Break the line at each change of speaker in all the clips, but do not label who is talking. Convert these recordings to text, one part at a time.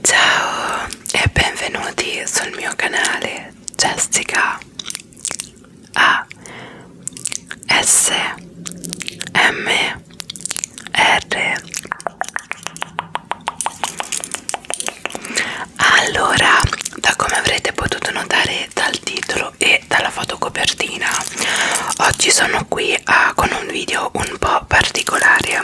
Ciao e benvenuti sul mio canale Jessica A S M R allora da come avrete potuto notare dal titolo e dalla fotocopertina oggi sono qui a, ah, con un video un po' particolare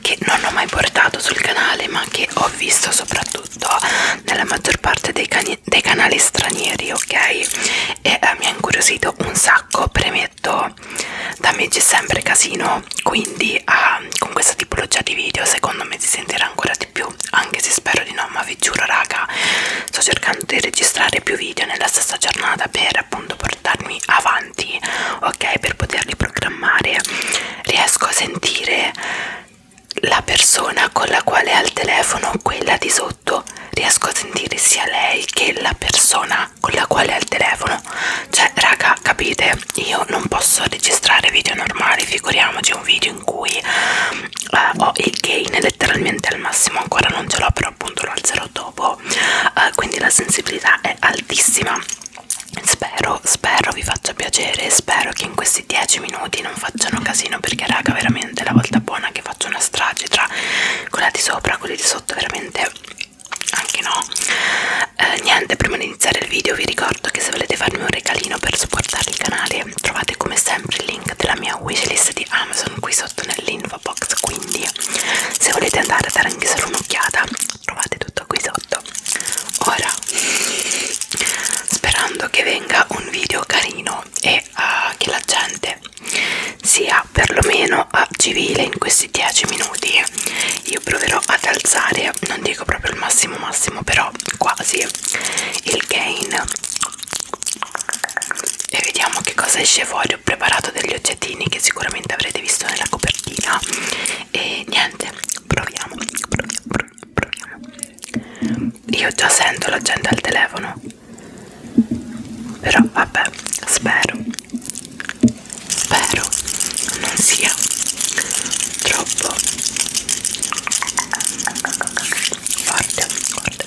che non ho mai portato sul canale ma che ho visto soprattutto nella maggior parte dei, cani, dei canali stranieri ok e eh, mi ha incuriosito un sacco premetto da me c'è sempre casino quindi ah, con questa tipologia di video secondo me si sentirà ancora di più anche se spero di no ma vi giuro raga sto cercando di registrare più video nella stessa giornata per appunto portarmi avanti ok per poterli programmare riesco a sentire la persona con la quale è al telefono quella di sotto riesco a sentire sia lei che la persona persona con la quale è al telefono cioè raga capite io non posso registrare video normali figuriamoci un video in cui eh, ho il gain letteralmente al massimo ancora non ce l'ho però appunto lo alzerò dopo eh, quindi la sensibilità è altissima spero spero vi faccia piacere spero che in questi 10 minuti non facciano casino perché raga veramente la volta buona che faccio una strage tra quella di sopra e quella di sotto veramente anche no eh, niente prima di iniziare il video vi ricordo che se volete farmi un regalino per supportare il canale trovate come sempre il link della mia wishlist di Amazon qui sotto nell'info box quindi se volete andare a dare anche solo un'occhiata trovate tutto qui sotto ora sperando che venga un video carino e uh, che la gente sia riuscirà perlomeno a civile in questi 10 minuti io proverò ad alzare non dico proprio il massimo massimo però quasi il gain e vediamo che cosa esce fuori ho preparato degli oggettini che sicuramente avrete visto nella copertina e niente proviamo proviamo proviamo io già sento la gente al telefono però vabbè spero spero non sia troppo forte, forte, forte, forte.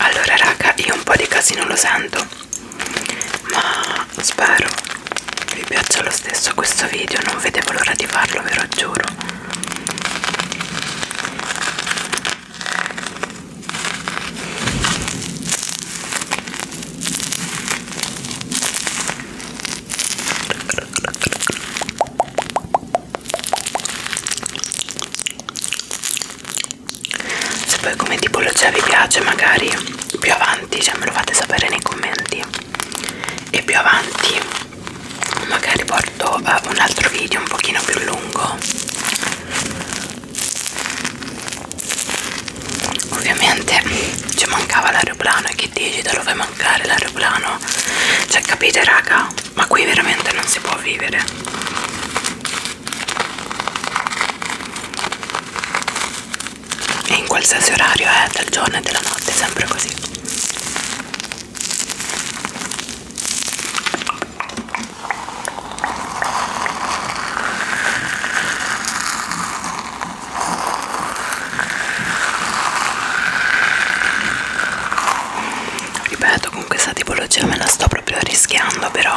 Allora raga, io un po' di casino lo sento, ma spero vi piaccia lo stesso questo video non vedevo l'ora di farlo ve lo giuro se poi come tipologia cioè, vi piace magari più avanti cioè me lo fate sapere nei commenti e più avanti magari porto uh, un altro video un pochino più lungo ovviamente ci mancava l'aeroplano e che dici dove mancare l'aeroplano cioè capite raga ma qui veramente non si può vivere e in qualsiasi orario è eh, del giorno e della notte, è sempre così. Ripeto, con questa tipologia me la sto proprio rischiando, però.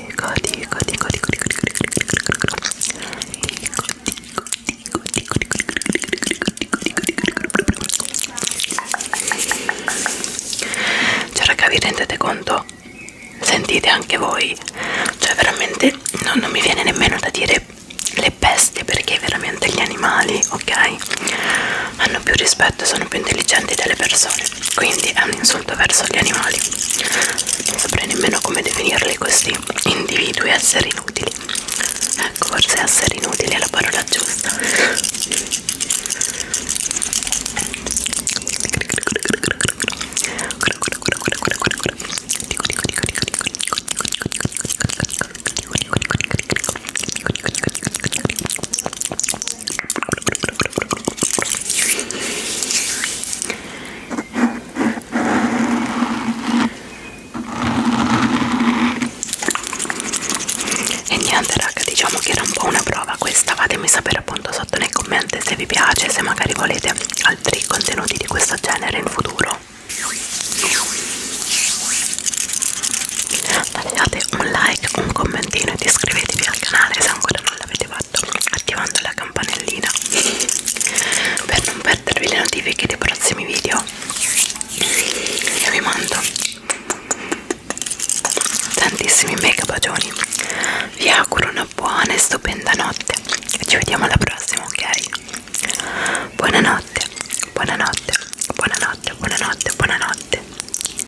dico, dico, dico, dico, dico, dico, dico, cioè raga vi rendete conto? Sentite anche voi? Cioè veramente no, non mi viene nemmeno da dire le bestie perché veramente gli animali, ok? Hanno più rispetto e sono più intelligenti delle persone quindi è un insulto verso gli animali non saprei nemmeno come definirli questi individui esseri inutili ecco forse essere inutili è la parola giusta e niente raga diciamo che era un po' una prova questa fatemi sapere appunto sotto nei commenti se vi piace se magari volete altri contenuti di questo genere in futuro lasciate un like un commentino e iscrivetevi al canale se ancora non l'avete fatto attivando la campanellina per non perdervi le notifiche dei prossimi video io vi mando tantissimi mega bacioni vi auguro una buona e stupenda notte e ci vediamo alla prossima ok buonanotte buonanotte buonanotte buonanotte buonanotte